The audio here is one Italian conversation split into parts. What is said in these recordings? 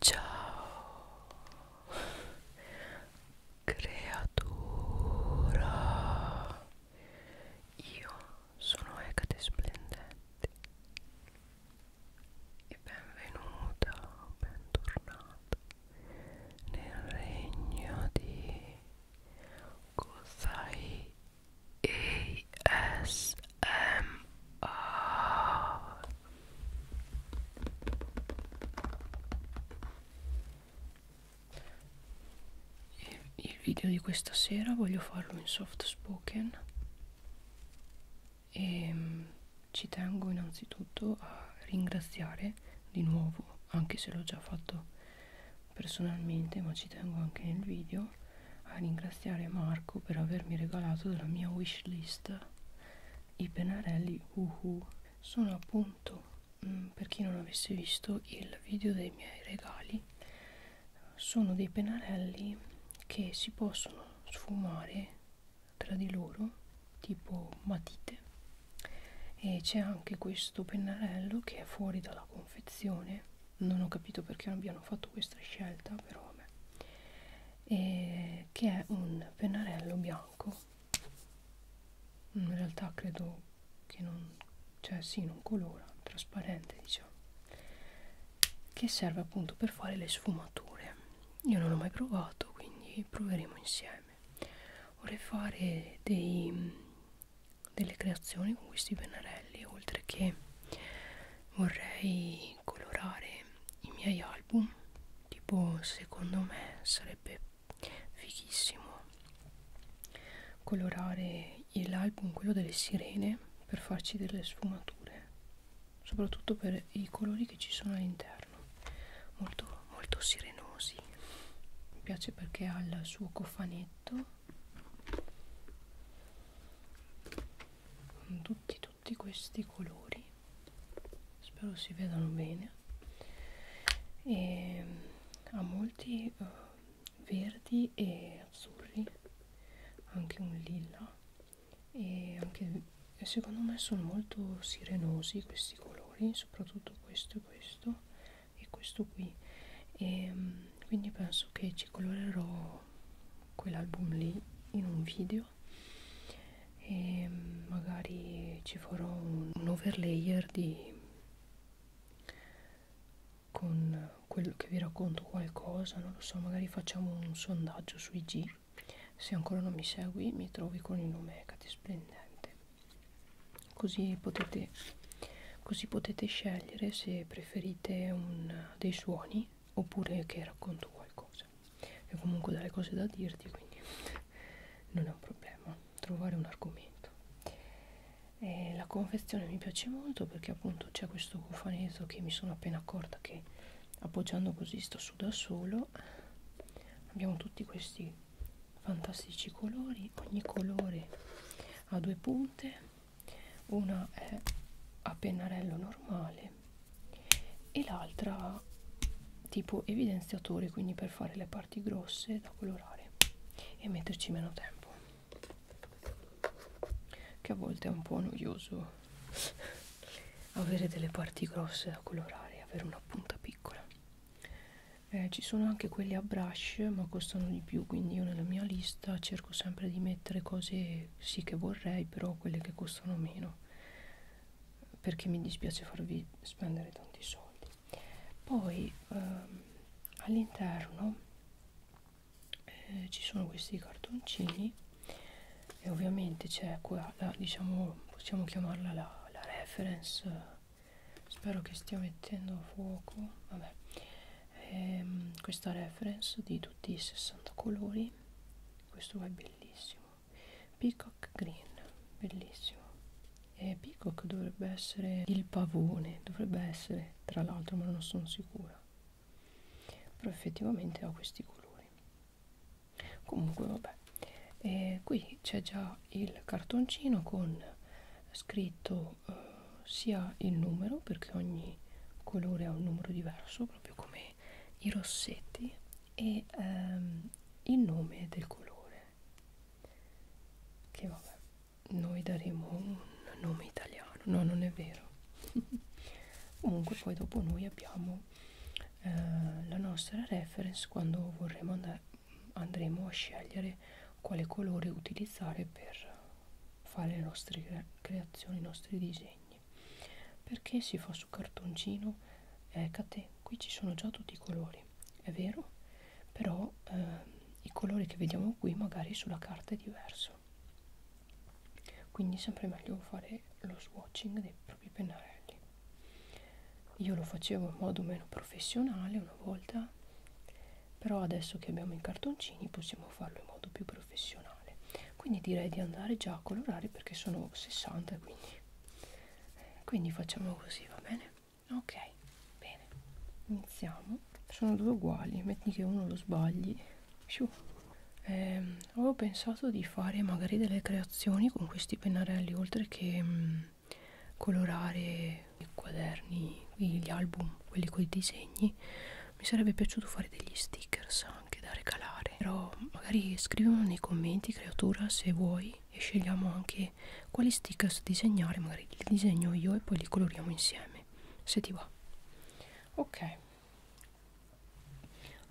Ciao creatura, io sono Ecate Splendente e benvenuta, bentornata nel regno di Kozai ASMR e il video di questa sera voglio farlo in soft spoken e ehm, ci tengo innanzitutto a ringraziare di nuovo, anche se l'ho già fatto personalmente, ma ci tengo anche nel video a ringraziare Marco per avermi regalato della mia wishlist i pennarelli uhu sono appunto mh, mm, per chi non avesse visto il video dei miei regali sono dei pennarelli che si possono sfumare tra di loro tipo matite e c'è anche questo pennarello che è fuori dalla confezione non ho capito perché abbiano fatto questa scelta però vabbè eh, che è un pennarello bianco in realtà credo che non cioè sì non colora trasparente diciamo che serve appunto per fare le sfumature io non l'ho mai provato quindi proveremo insieme vorrei fare dei, delle creazioni con questi pennarelli oltre che vorrei di colorare i miei album tipo secondo me sarebbe fighissimo colorare l'album quello delle sirene per farci delle sfumature soprattutto per i colori che ci sono all'interno molto molto sirenosi mi piace perché ha il suo cofanetto con tutti i tutti questi colori spero si vedano bene e ha molti uh, verdi e azzurri anche un lilla e anche secondo me sono molto sirenosi questi colori soprattutto questo e questo e questo qui e mm, quindi penso che ci colorerò quell'album lì in un video e magari ci farò un, un overlayer di con quello che vi racconto qualcosa non lo so magari facciamo un sondaggio su IG se ancora non mi segui mi trovi con il nome Cate Splendente così potete così potete scegliere se preferite un, dei suoni oppure che racconto qualcosa e comunque delle cose da dirti quindi non è un problema trovare un argomento e la confezione mi piace molto perché appunto c'è questo cofanetto che mi sono appena accorta che appoggiando così sto su da solo abbiamo tutti questi fantastici colori ogni colore ha due punte una è a pennarello normale verde e l'altra tipo evidenziatore quindi per fare le parti grosse da colorare e metterci meno tempo che a volte è un po' noioso avere delle parti grosse da colorare avere una punta piccola eh, ci sono anche quelli a brush ma costano di più quindi io nella mia lista cerco sempre di mettere cose cose sì che vorrei però quelle che costano meno perché mi dispiace farvi spendere tanti soldi poi ehm, all'interno eh, ci sono questi cartoncini e ovviamente c'è qua la, diciamo possiamo chiamarla la, la reference spero che stia mettendo a fuoco vabbè ehm, questa reference di tutti i 60 colori questo qua è bellissimo peacock green bellissimo e peacock dovrebbe essere il pavone dovrebbe essere tra l'altro ma non sono sicura però effettivamente ha questi colori comunque vabbè e qui c'è già il cartoncino con scritto eh, sia il numero perché ogni colore ha un numero diverso proprio come anche i rossetti e ehm, il nome del colore che vabbè noi daremo un nome italiano no non è vero comunque poi dopo noi abbiamo eh, la nostra reference quando vorremo andare andremo a scegliere quale colore utilizzare per fare le nostre cre creazioni i nostri disegni disegni perché si fa su cartoncino eh, catè qui ci sono già tutti i colori è vero però eh, i colori che vediamo qui magari sulla carta è diverso quindi è sempre meglio fare lo swatching dei propri pennarelli io lo facevo in modo meno professionale una volta però adesso che abbiamo i cartoncini possiamo farlo in modo più professionale quindi direi di andare già a colorare perché sono 60 quindi quindi facciamo così va bene ok bene iniziamo sono due uguali metti che uno lo sbagli eh, avevo pensato di fare magari delle creazioni con questi pennarelli oltre che mh, mm, colorare i quaderni gli album quelli con i disegni mi sarebbe piaciuto fare degli stickers anche da regalare però magari scrivimi nei commenti creatura se vuoi e scegliamo anche quali stickers disegnare magari li disegno io e poi li coloriamo insieme se ti va ok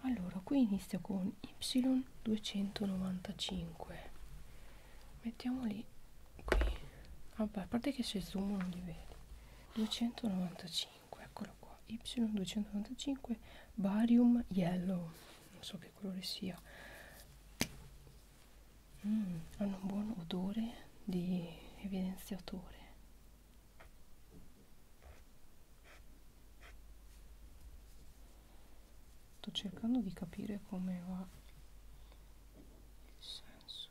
allora qui inizio con y295 mettiamoli qui vabbè ah, a parte che se zoom non li vedi 295 Y295 eccolo qua Y295 barium yellow non so che colore sia mm, hanno un buon odore di evidenziatore sto cercando di capire come va il senso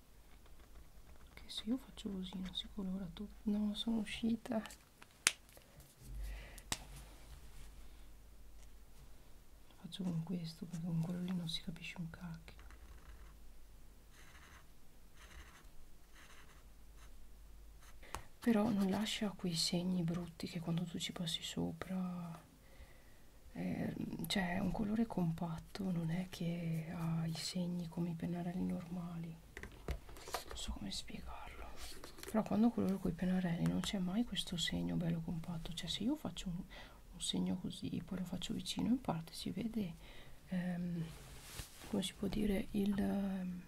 che se io faccio così non si colora tutto no sono uscita faccio con questo perché con quello lì non si capisce un cacchio però non lascia quei segni brutti che quando tu ci passi sopra eh, cioè è un colore compatto non è che ha i segni come i pennarelli normali non so come spiegarlo però quando coloro con i pennarelli non c'è mai questo segno bello compatto cioè se io faccio un, un segno così poi lo faccio vicino in parte si vede ehm, come si può dire il ehm,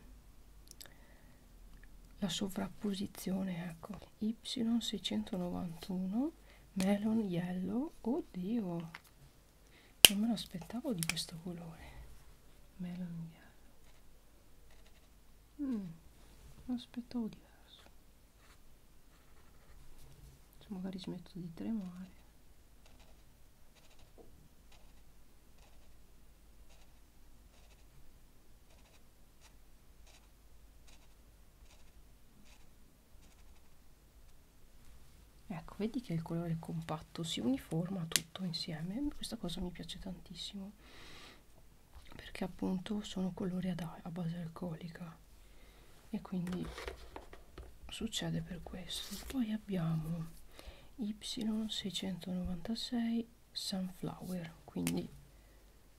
la sovrapposizione ecco y691 melon yellow oddio non me lo aspettavo di questo colore melon giallo mm, lo aspettavo diverso Se cioè, magari smetto di tremare ecco vedi che il colore compatto si uniforma tutto insieme questa cosa mi piace tantissimo perché appunto sono colori a base alcolica e quindi succede per questo poi abbiamo y696 sunflower quindi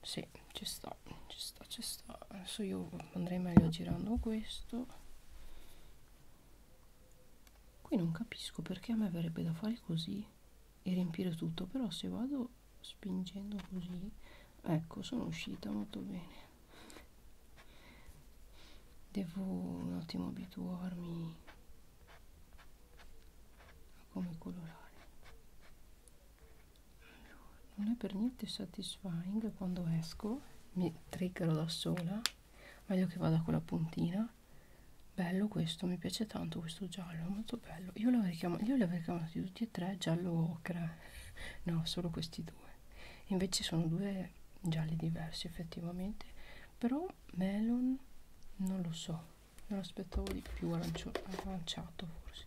sì, ci sta, ci sta, ci sta. Adesso io andrei meglio girando questo qui non capisco perché a me verrebbe da fare così e riempire tutto però se vado spingendo così ecco sono uscita molto bene devo un attimo abituarmi a come colorare allora, non è per niente satisfying quando esco mi triggero da sola meglio che vada con la puntina bello questo mi piace tanto questo giallo molto bello io li avrei chiamati tutti e tre giallo ocra no solo questi due invece sono due gialli diversi effettivamente però melon non lo so me lo aspettavo di più arancio, aranciato forse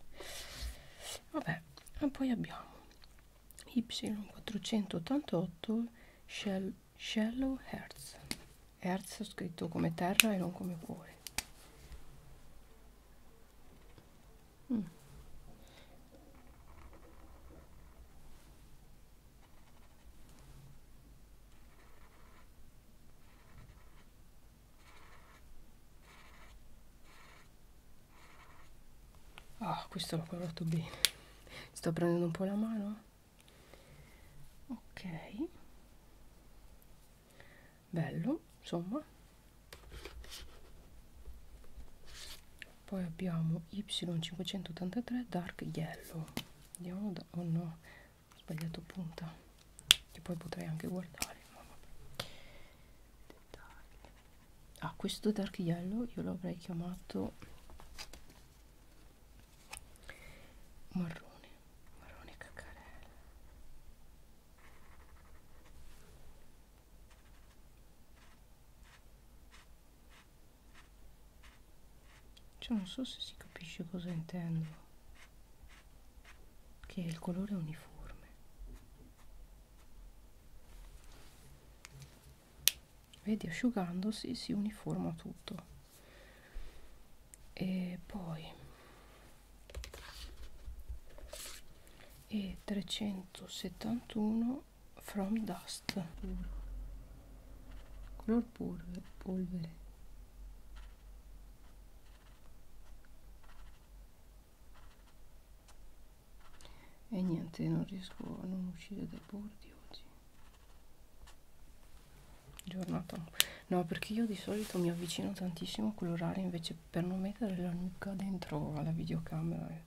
vabbè e poi abbiamo Y488 shell, Shallow Hertz. Hertz scritto come terra e non come cuore. Mm. Ah, questo l'ho colorato bene sto prendendo un po' la mano ok bello insomma poi abbiamo Y583 Dark Yellow andiamo da oh no ho sbagliato punta che poi potrei anche guardare ma vabbè. Dettagli ah questo dark yellow io l'avrei chiamato marrone marrone caccarella cioè non so se si capisce cosa intendo che il colore è uniforme vedi asciugandosi si uniforma tutto e poi e 371 from dust color polvere, polvere e niente non riesco a non uscire dai bordi oggi giornata no perché io di solito mi avvicino tantissimo a colorare invece per non mettere la nuca dentro alla videocamera eh.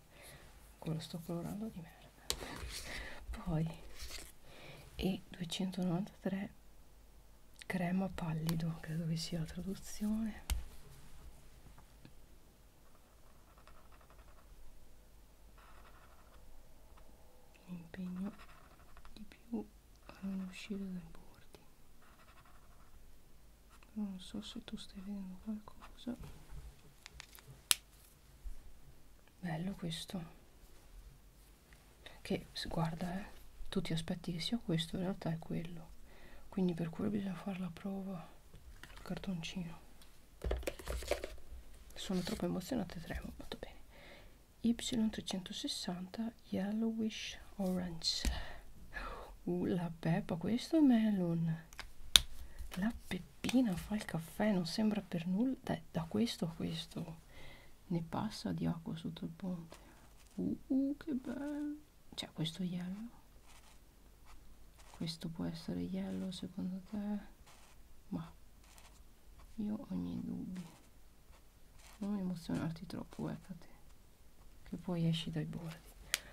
quello sto colorando di merda poi e 293 crema pallido credo che sia la traduzione mi impegno di più a non uscire dai bordi Però non so se tu stai vedendo qualcosa bello questo che guarda eh, tu ti aspetti che sia questo in realtà è quello quindi per quello bisogna fare la prova il cartoncino sono troppo emozionata tremo molto bene y360 yellowish orange uh, la peppa questo è melon la peppina fa il caffè non sembra per nulla da, da questo a questo ne passa di acqua sotto il ponte uh, uh che bello cioè questo yellow questo può essere yellow secondo te ma io ho i miei dubbi non emozionarti troppo guardate che poi esci dai bordi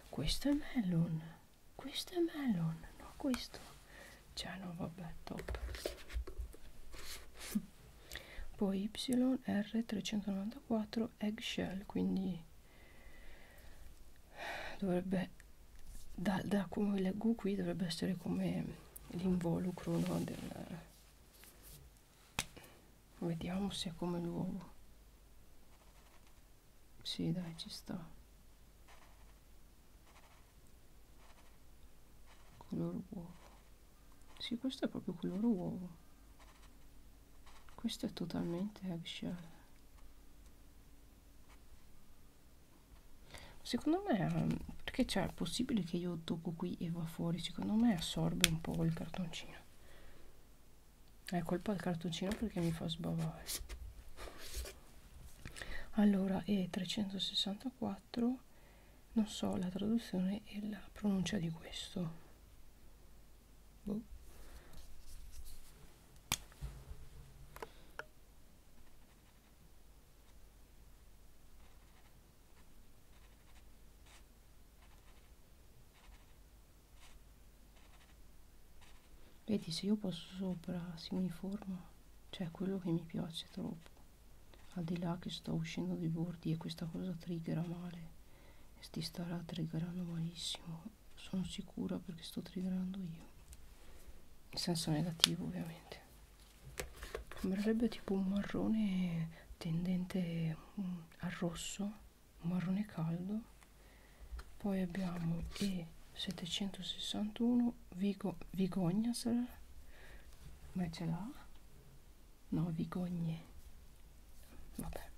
questo è melon questo è melon no questo cioè no vabbè top poi yr394 eggshell quindi dovrebbe da, da come leggo qui dovrebbe essere come l'involucro no, del vediamo se è come l'uovo si sì, dai ci sta color uovo si sì, questo è proprio color uovo questo è totalmente eggshell secondo me perché c'è è possibile che io tocco qui e va fuori secondo me assorbe un po' il cartoncino è colpa del cartoncino perché mi fa sbavare allora e 364 non so la traduzione e la pronuncia di questo boh. Vedi se io posso sopra si uniforma, cioè quello che mi piace troppo. Al di là che sto uscendo dai bordi e questa cosa triggera male, e sti starà triggerando malissimo sono sicura perché sto triggerando io in senso negativo ovviamente sembrerebbe tipo un marrone tendente mm, al rosso un marrone caldo poi abbiamo E761 Vigo, Vigogna sarà ma ce l'ha? no Vigogne vabbè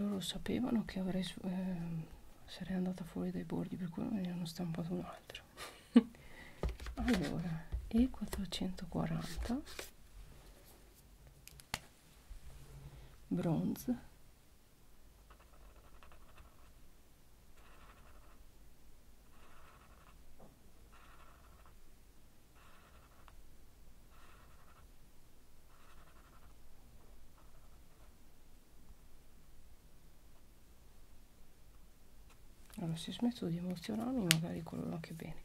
loro sapevano che avrei, eh, sarei andata fuori dai bordi per cui ne hanno stampato un altro allora e 440 bronze allora se smetto di emozionarmi magari coloro anche bene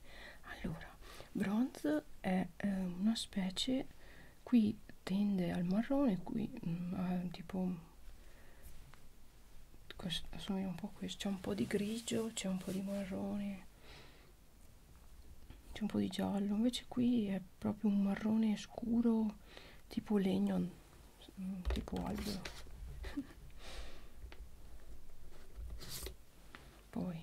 allora bronze è eh, una specie qui tende al marrone qui mh, mm, tipo assomiglia un po' a questo c'è un po' di grigio c'è un po' di marrone c'è un po' di giallo invece qui è proprio un marrone scuro tipo legno tipo albero poi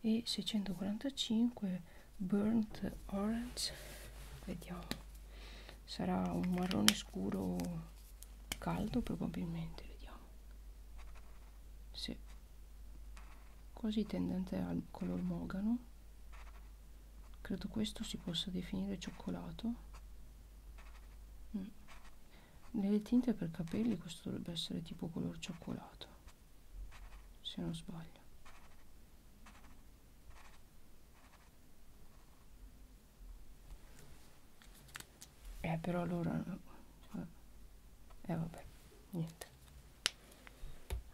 e 645 burnt orange vediamo sarà un marrone scuro caldo probabilmente vediamo sì. quasi tendente al color mogano credo questo si possa definire cioccolato mm nelle tinte per capelli questo dovrebbe essere tipo color cioccolato se non sbaglio eh però allora cioè, eh vabbè niente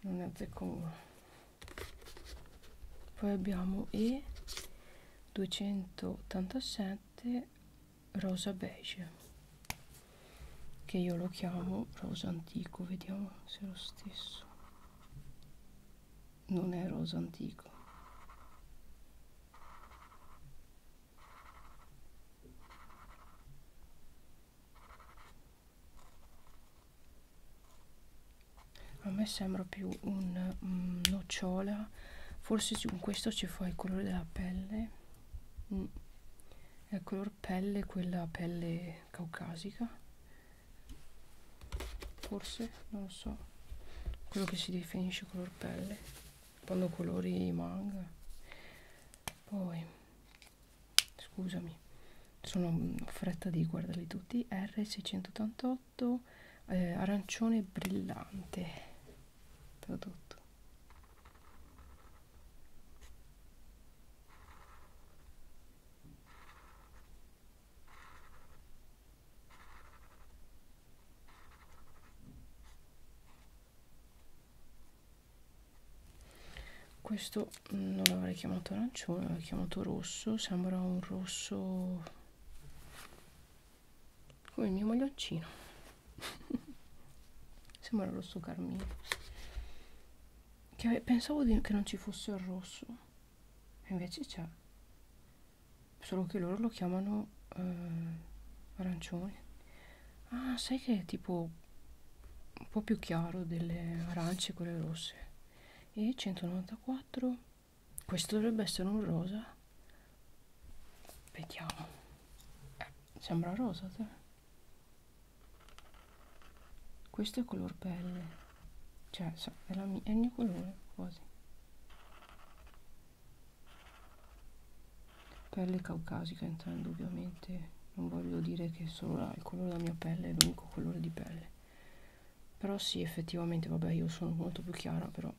non ne azzecco uno poi abbiamo E287 7 rosa beige che io lo chiamo rosa antico vediamo se è lo stesso non è rosa antico a me sembra più un um, nocciola forse con questo ci fa il colore della pelle mm. è il color pelle quella pelle caucasica forse non lo so quello che si definisce color pelle quando colori manga poi scusami sono fretta di guardarli tutti R688 prodotto eh, arancione brillante prodotto questo mm, non l'avrei chiamato arancione l'avrei chiamato rosso sembra un rosso come il mio maglioncino sembra rosso carmine che pensavo di, che non ci fosse il rosso e invece c'è solo che loro lo chiamano eh, arancione ah sai che è tipo un po' più chiaro delle arance quelle rosse e 194 questo dovrebbe essere un rosa vediamo eh, sembra rosa te. questo è color pelle cioè è, la mia, è il mio colore quasi pelle caucasica intendo ovviamente non voglio dire che solo la, il colore della mia pelle è l'unico colore di pelle però sì effettivamente vabbè io sono molto più chiara però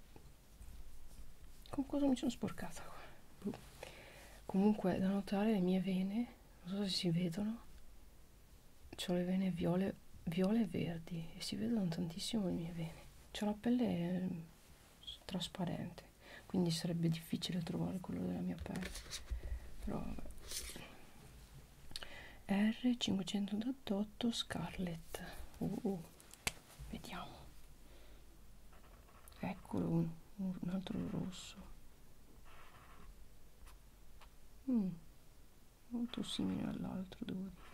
con cosa mi sono sporcata qua? Boh. comunque da notare le mie vene non so se si vedono ho le vene viole, viole e verdi e si vedono tantissimo le mie vene ho la pelle ehm, trasparente quindi sarebbe difficile trovare il colore della mia pelle però vabbè R588 Scarlet uh, uh vediamo eccolo un, un altro rosso mm, molto simile all'altro devo dire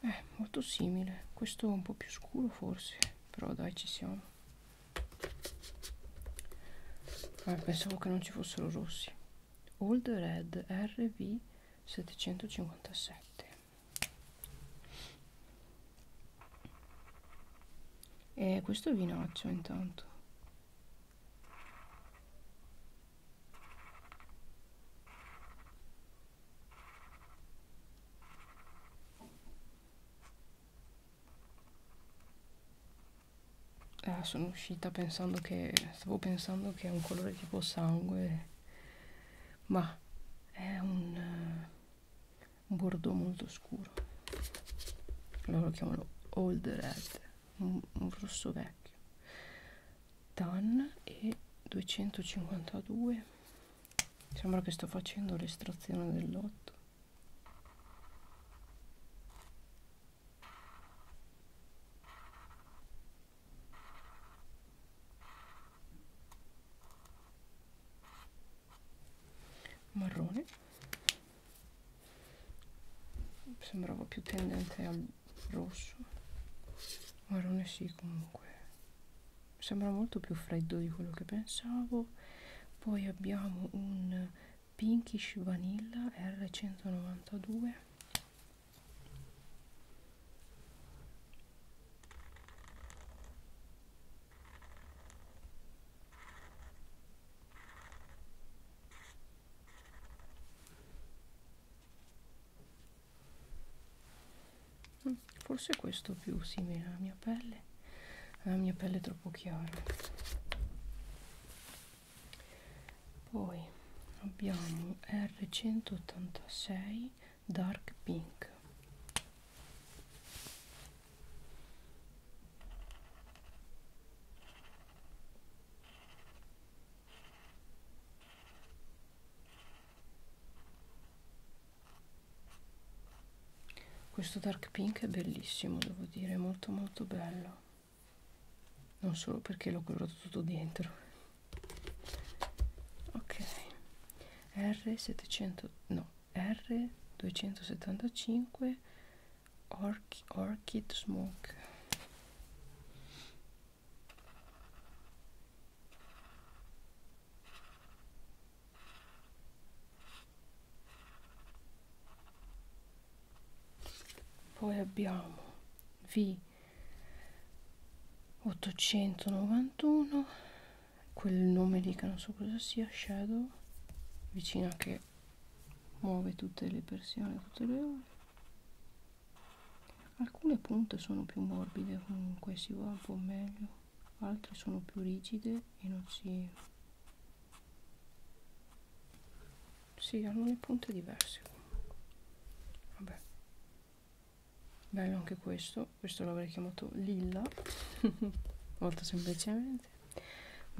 eh, molto simile questo è un po' più scuro forse però dai ci siamo Vabbè, pensavo che non ci fossero rossi. Old Red RV757 e questo è vinaccio intanto eh, sono uscita pensando che stavo pensando che è un colore tipo sangue ma è un, uh, un bordeaux molto scuro loro lo chiamano old red un, un rosso vecchio tan e 252 sembra che sto facendo l'estrazione del lotto marrone sembrava più tendente al rosso marrone sì comunque sembra molto più freddo di quello che pensavo poi abbiamo un pinkish vanilla R192 mm, Forse questo più simile alla mia pelle pelle la mia pelle è troppo chiara poi abbiamo R186 Dark Pink questo dark pink è bellissimo devo dire è molto molto bello non solo perché l'ho colorato tutto dentro ok r700 no r275 Orch orchid smoke poi abbiamo V 891 quel nome lì che non so cosa sia Shadow vicina che muove tutte le persiane tutte le ore alcune punte sono più morbide comunque si va un po' meglio altre sono più rigide e non si sì alcune punte diverse vabbè bello anche questo questo l'avrei chiamato lilla molto semplicemente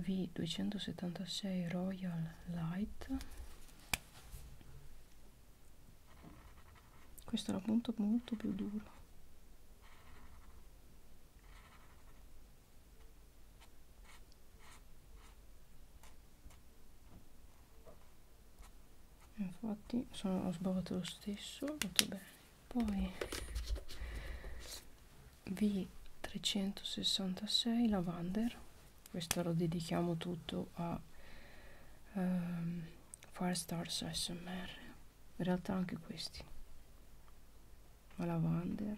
v276 royal light questo è la punta molto più dura eh, infatti sono, ho sbavato lo stesso molto bene poi V366 lavander questo lo dedichiamo tutto a um, Firestar SMR in realtà anche questi la lavanda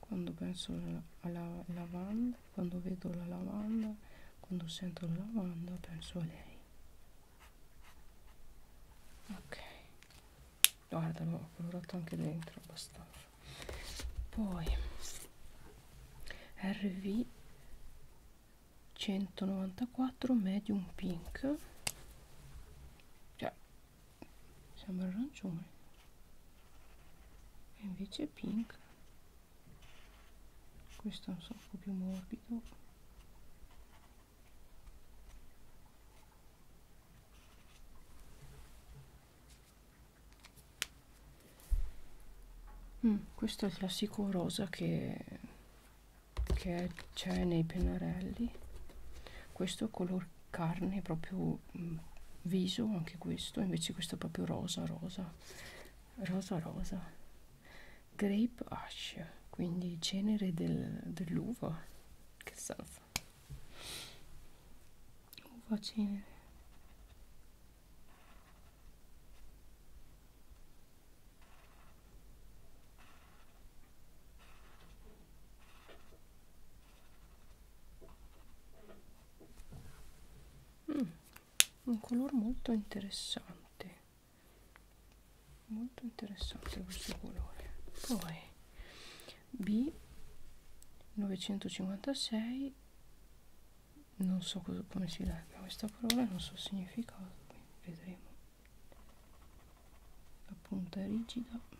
quando penso alla lavanda quando vedo la lavanda quando sento la lavanda penso a lei ok guarda l'ho colorato anche dentro abbastanza poi RV 194 medium pink cioè sembra arancione e invece è pink questo è un sacco più morbido mm, questo è il classico rosa che che c'è nei pennarelli questo color carne proprio mh, mm, viso anche questo invece questo è proprio rosa rosa rosa rosa grape ash quindi cenere del, dell'uva che salsa uva cenere Mm, un colore molto interessante molto interessante questo colore poi b 956 non so cosa, come si legga questa parola non so il significato quindi vedremo la punta è rigida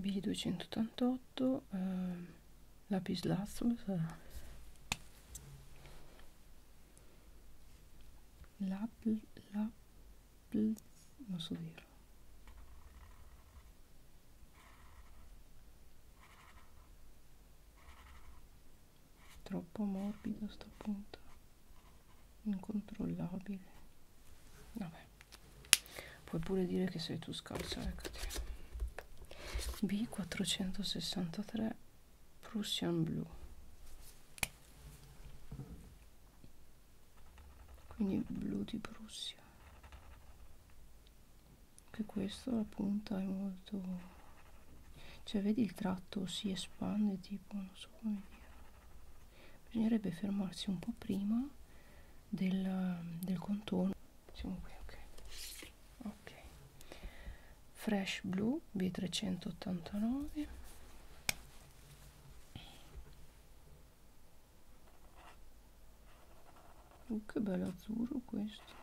B288 eh, lapislazuli lapl lapl non so dirlo troppo morbido a sto punto incontrollabile vabbè puoi pure dire che sei tu scalza eccoti B463 Prussian Blue quindi blu di Prussia che questo la punta è molto cioè vedi il tratto si espande tipo non so come dire bisognerebbe fermarsi un po' prima del, del contorno siamo qui ok ok fresh blue b389 oh, uh, che bello azzurro questo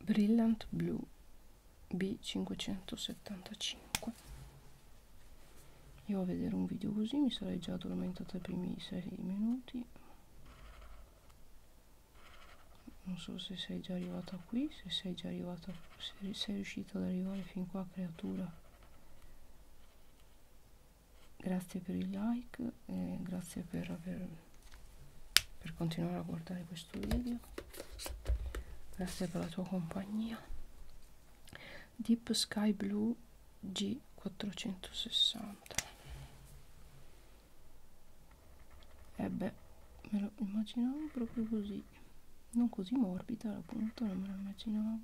Brilliant Blue B575 io a vedere un video così mi sarei già addormentata i primi 6 minuti non so se sei già arrivata qui se sei già arrivata se sei riuscita ad arrivare fin qua creatura grazie per i like e grazie per aver per continuare a guardare questo video grazie per la tua compagnia deep sky blue g460 e eh beh me lo immaginavo proprio così non così morbida la punta non me la immaginavo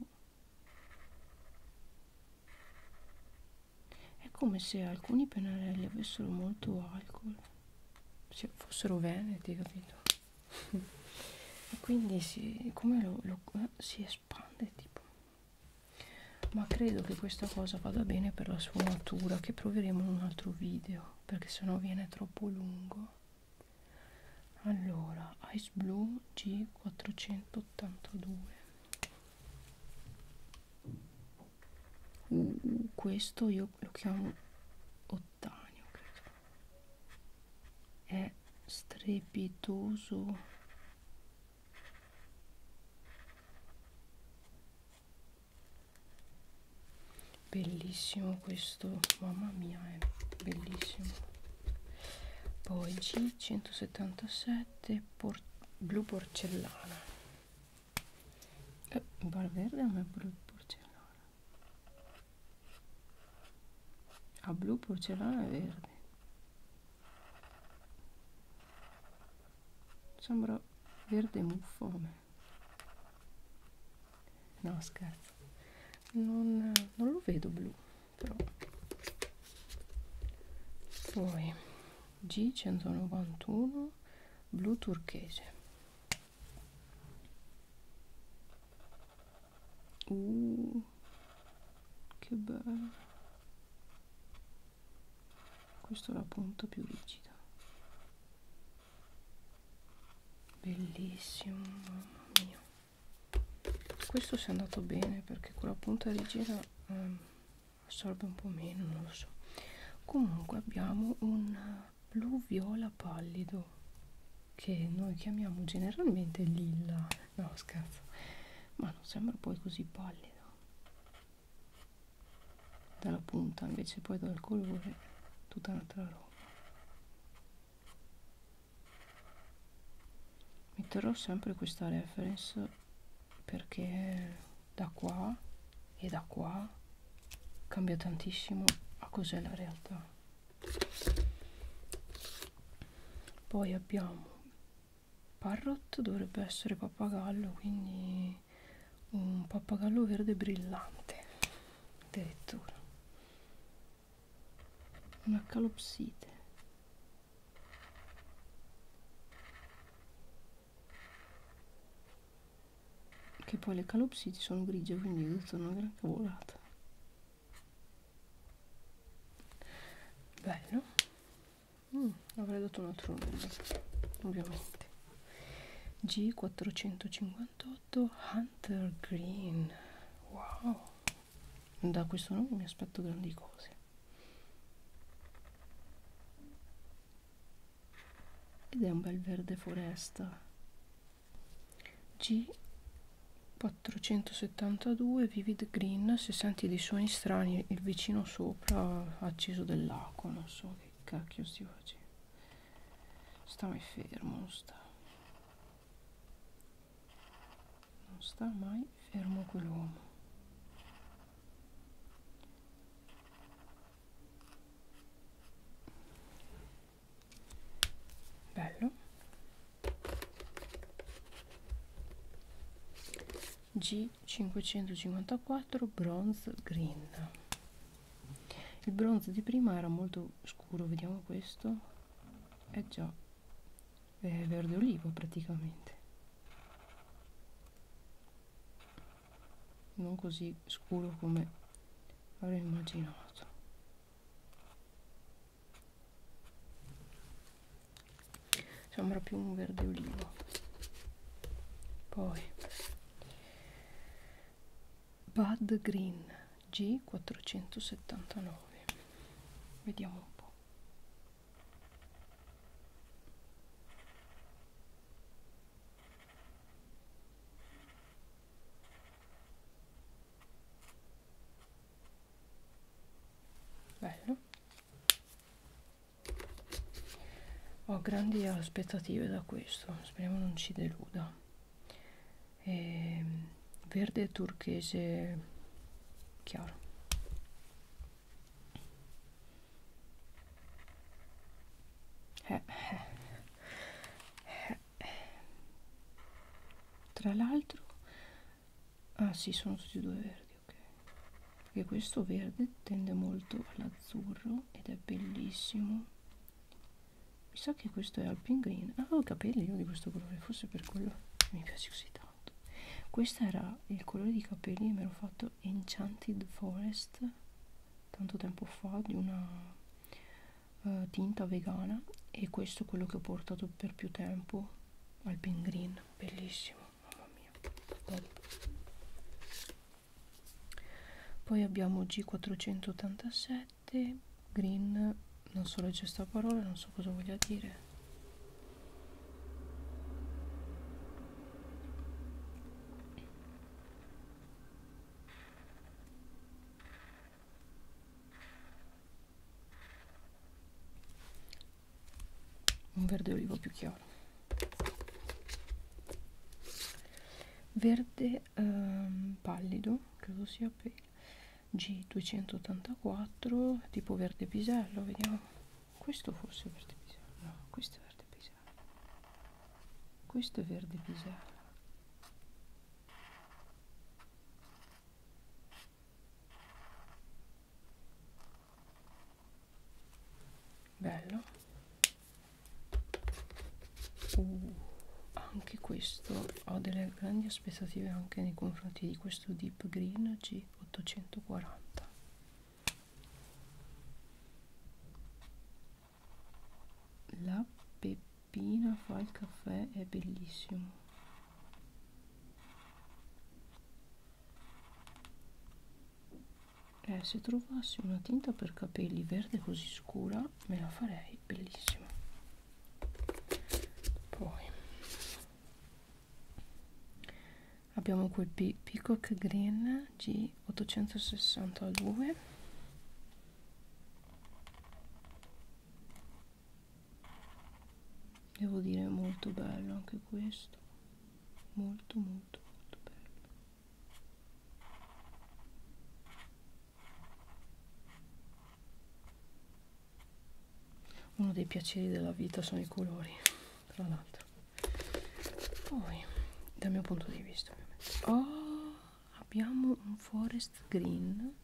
è come se alcuni pennarelli avessero molto alcol, se fossero veneti, capito? e quindi si, come lo, lo, si espande tipo. Ma credo che questa cosa vada bene per la sua natura, che proveremo in un altro video, perché sennò viene troppo lungo allora ice blue g482 uh, mm, mm, questo io lo chiamo ottanio credo. è strepitoso bellissimo questo mamma mia è bellissimo poi G177 por blu porcellana eh, Valverde non è blu porcellana a ah, blu porcellana è verde sembra verde muffone no scherzo non, non lo vedo blu Pro poi G191 blu turchese Uh, che bello questo è la punta più rigida bellissimo mamma mia questo si è andato bene perché con la punta rigida ehm, assorbe un po' meno non lo so comunque abbiamo un blu viola pallido che noi chiamiamo generalmente lilla no scherzo ma non sembra poi così pallido dalla punta invece poi dal colore tutta un'altra roba metterò sempre questa reference perché da qua e da qua cambia tantissimo a cos'è la realtà poi abbiamo parrot dovrebbe essere pappagallo quindi un pappagallo verde brillante addirittura una calopsite che poi le calopsiti sono grigie quindi ho detto una gran cavolata bello mm, avrei dato un altro nome ovviamente G458 Hunter Green wow da questo nome mi aspetto grandi cose ed è un bel verde foresta G472 Vivid Green se senti dei suoni strani il vicino sopra ha acceso dell'acqua non so che cacchio si faccia sta mai fermo sta non sta mai fermo quell'uomo bello G554 bronze green il bronzo di prima era molto scuro vediamo questo è eh già è verde olivo praticamente non così scuro come avrei immaginato sembra più un verde olivo poi Bud Green G479 vediamo un po' bello ho grandi aspettative da questo speriamo non ci deluda eh, verde turchese chiaro eh, eh, eh. tra l'altro ah sì sono tutti e due verdi ok perché questo verde tende molto all'azzurro ed è bellissimo mi sa che questo è Alpine Green avevo ah, i capelli io di questo colore forse per quello mi piace così tanto questo era il colore di capelli che mi ero fatto Enchanted Forest tanto tempo fa di una uh, tinta vegana e questo è quello che ho portato per più tempo Alpine Green bellissimo mamma mia Bello. poi abbiamo G487 verde green non so leggere sta parola non so cosa voglia dire un verde olivo più chiaro verde um, pallido credo sia pale G284 tipo verde pisello vediamo questo forse è verde pisello no questo è verde pisello questo è verde pisello bello Uh, anche questo ho delle grandi aspettative anche nei confronti di questo Deep Green G840 la peppina fa il caffè è bellissimo eh, se trovassi una tinta per capelli verde così scura me la farei bellissima poi abbiamo quel Pe Peacock Green G862 devo dire molto bello anche questo molto molto molto bello uno dei piaceri della vita sono i colori tra l'altro poi dal mio punto di vista oh, abbiamo un forest green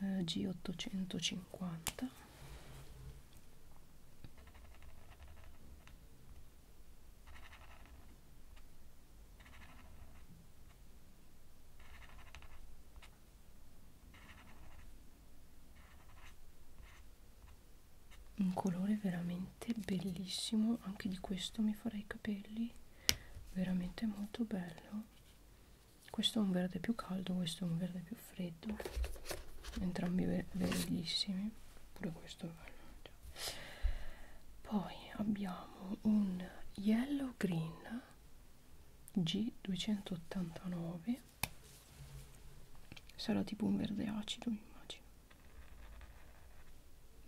eh, G850 un colore veramente bellissimo anche di questo mi farei i capelli veramente molto bello questo è un verde più caldo questo è un verde più freddo entrambi be bellissimi pure questo è bello cioè. poi abbiamo un yellow green in G289 sarà tipo un verde acido immagino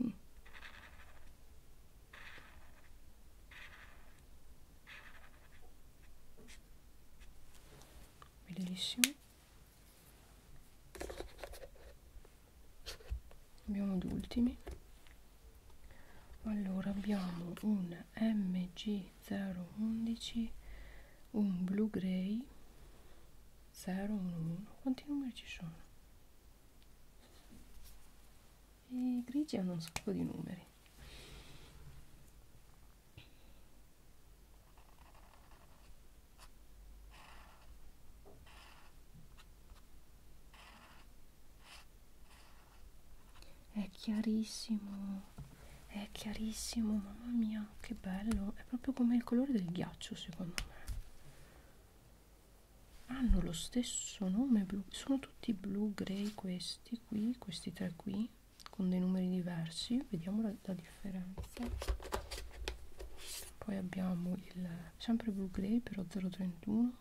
mm. bellissimo abbiamo gli ultimi allora abbiamo un mg011 un blu grey 011 quanti numeri ci sono i grigi hanno un sacco di numeri è chiarissimo è chiarissimo mamma mia che bello è proprio come il colore del ghiaccio secondo me hanno lo stesso nome blu sono tutti blu grey questi qui questi tre qui con dei numeri diversi vediamo la, la differenza poi abbiamo il sempre blu grey però 031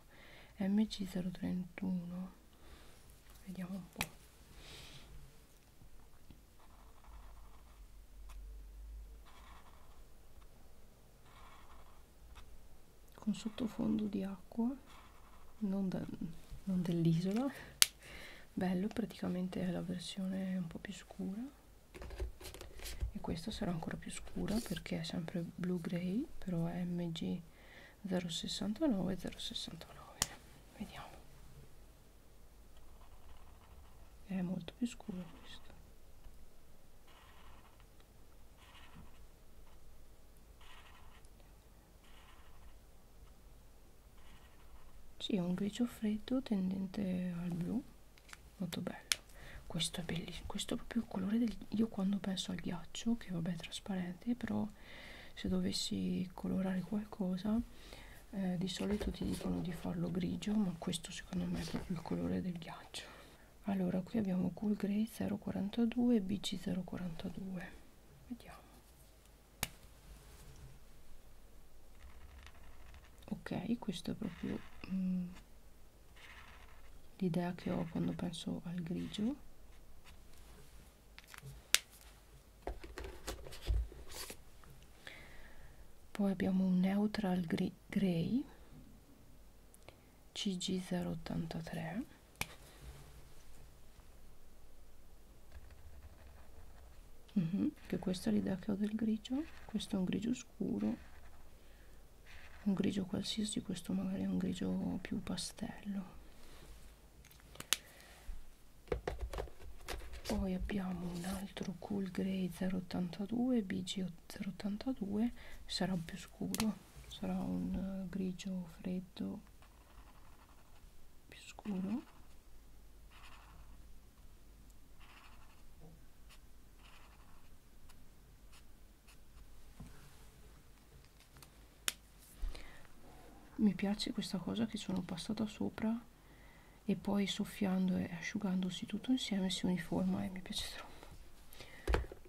mc031 vediamo un po' con sottofondo di acqua non, da, non dell'isola bello praticamente è la versione un po' più scura e questa sarà ancora più scura perché è sempre blu grey qui però è mg 069 069 vediamo è molto più scuro questo sì, è un grigio freddo tendente al blu molto bello questo è bellissimo questo è proprio il colore del io quando penso al ghiaccio che vabbè è trasparente però se dovessi colorare qualcosa eh, di solito ti dicono di farlo grigio ma questo secondo me è proprio il colore del ghiaccio allora qui abbiamo cool grey 042 e bc 042 vediamo ok questo è proprio mm, l'idea che ho quando penso al grigio poi abbiamo un neutral grey cg083 mm -hmm. che questa è l'idea che ho del grigio questo è un grigio scuro un grigio qualsiasi questo magari è un grigio più pastello poi abbiamo un altro cool grey 082 bg 082 sarà più scuro sarà un eh, grigio freddo più scuro mi piace questa cosa che sono passata sopra e poi soffiando e asciugandosi tutto insieme si uniforma e mi piace troppo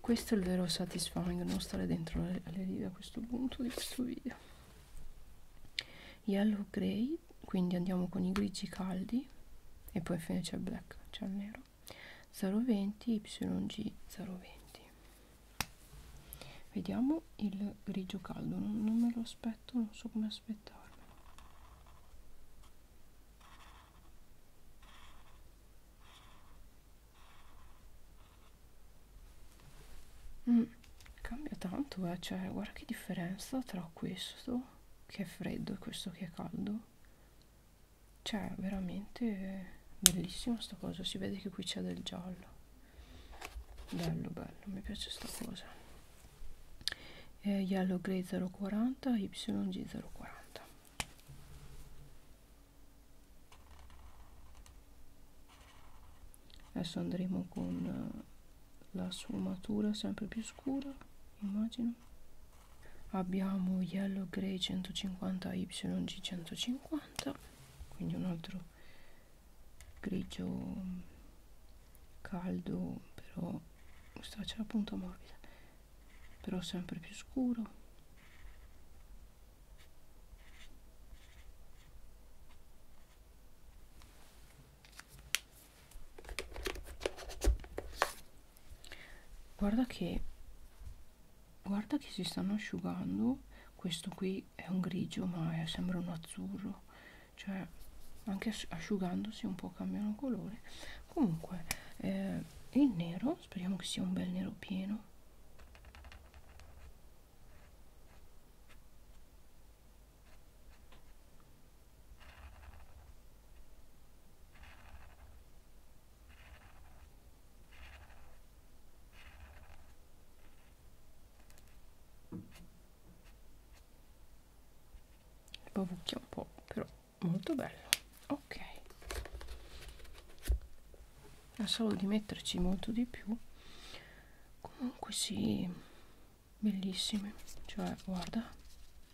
questo è il vero satisfying non stare dentro alle, alle righe a questo punto di questo video yellow grey quindi andiamo con i grigi caldi e poi infine c'è il black c'è il nero 020 yg 020 vediamo il grigio caldo non, non me lo aspetto non so come aspettarmi mm, cambia tanto eh? cioè guarda che differenza tra questo che è freddo e questo che è caldo cioè veramente bellissimo sta cosa si vede che qui c'è del giallo bello bello mi piace sta cosa eh, yellow grey 040 yg 040 adesso andremo con eh, la sfumatura sempre più scura immagino abbiamo Yellow Grey 150 YG 150 quindi un altro grigio mm, caldo però questa c'è la punta morbida però sempre più scuro guarda che guarda che si stanno asciugando questo qui è un grigio ma è, sembra un azzurro cioè anche asciugandosi un po' cambiano colore comunque eh, il nero speriamo che sia un bel nero pieno Bavucchia un po', però molto bello. Ok. Ha solo di metterci molto di più. Comunque sì, bellissime. Cioè, guarda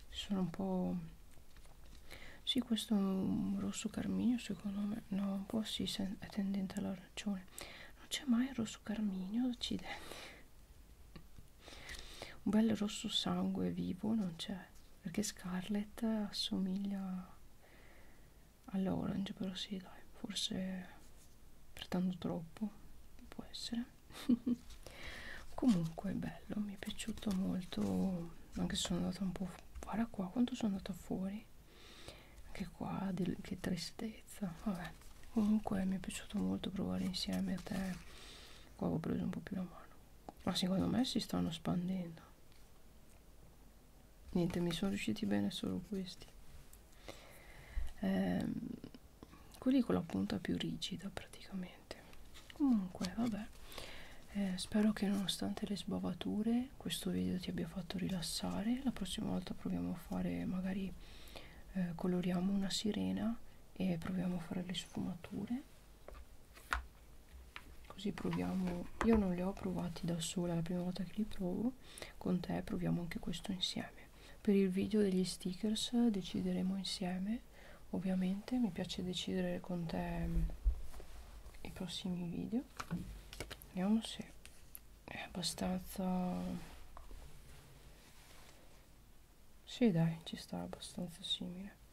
sono un po' sì questo è un rosso carminio secondo me no un po' si sì, è tendente all'arancione non c'è mai il rosso carminio accidenti un bel rosso sangue vivo non c'è perché Scarlet assomiglia all'orange però sì dai forse pretendo troppo può essere comunque bello mi è piaciuto molto anche se sono andata un po' guarda qua quanto sono andata fuori anche qua di, che tristezza vabbè comunque mi è piaciuto molto provare insieme a te qua ho preso un po' più la mano ma secondo me si stanno spandendo niente mi sono riusciti bene solo questi eh, quelli con la punta più rigida praticamente niente comunque vabbè eh, spero che nonostante le sbavature questo video ti abbia fatto rilassare la prossima volta proviamo a fare magari eh, coloriamo una sirena e proviamo a fare le sfumature così proviamo io non le ho provati da sola è la prima volta che li provo con te proviamo anche questo insieme per il video degli stickers decideremo insieme te ovviamente mi piace decidere con te mm, i prossimi video vediamo se è abbastanza sì dai ci sta abbastanza simile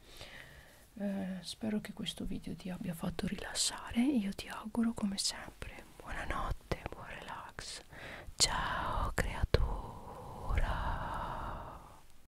eh, spero che questo video ti abbia fatto rilassare io ti auguro come sempre buonanotte buon relax ciao creatura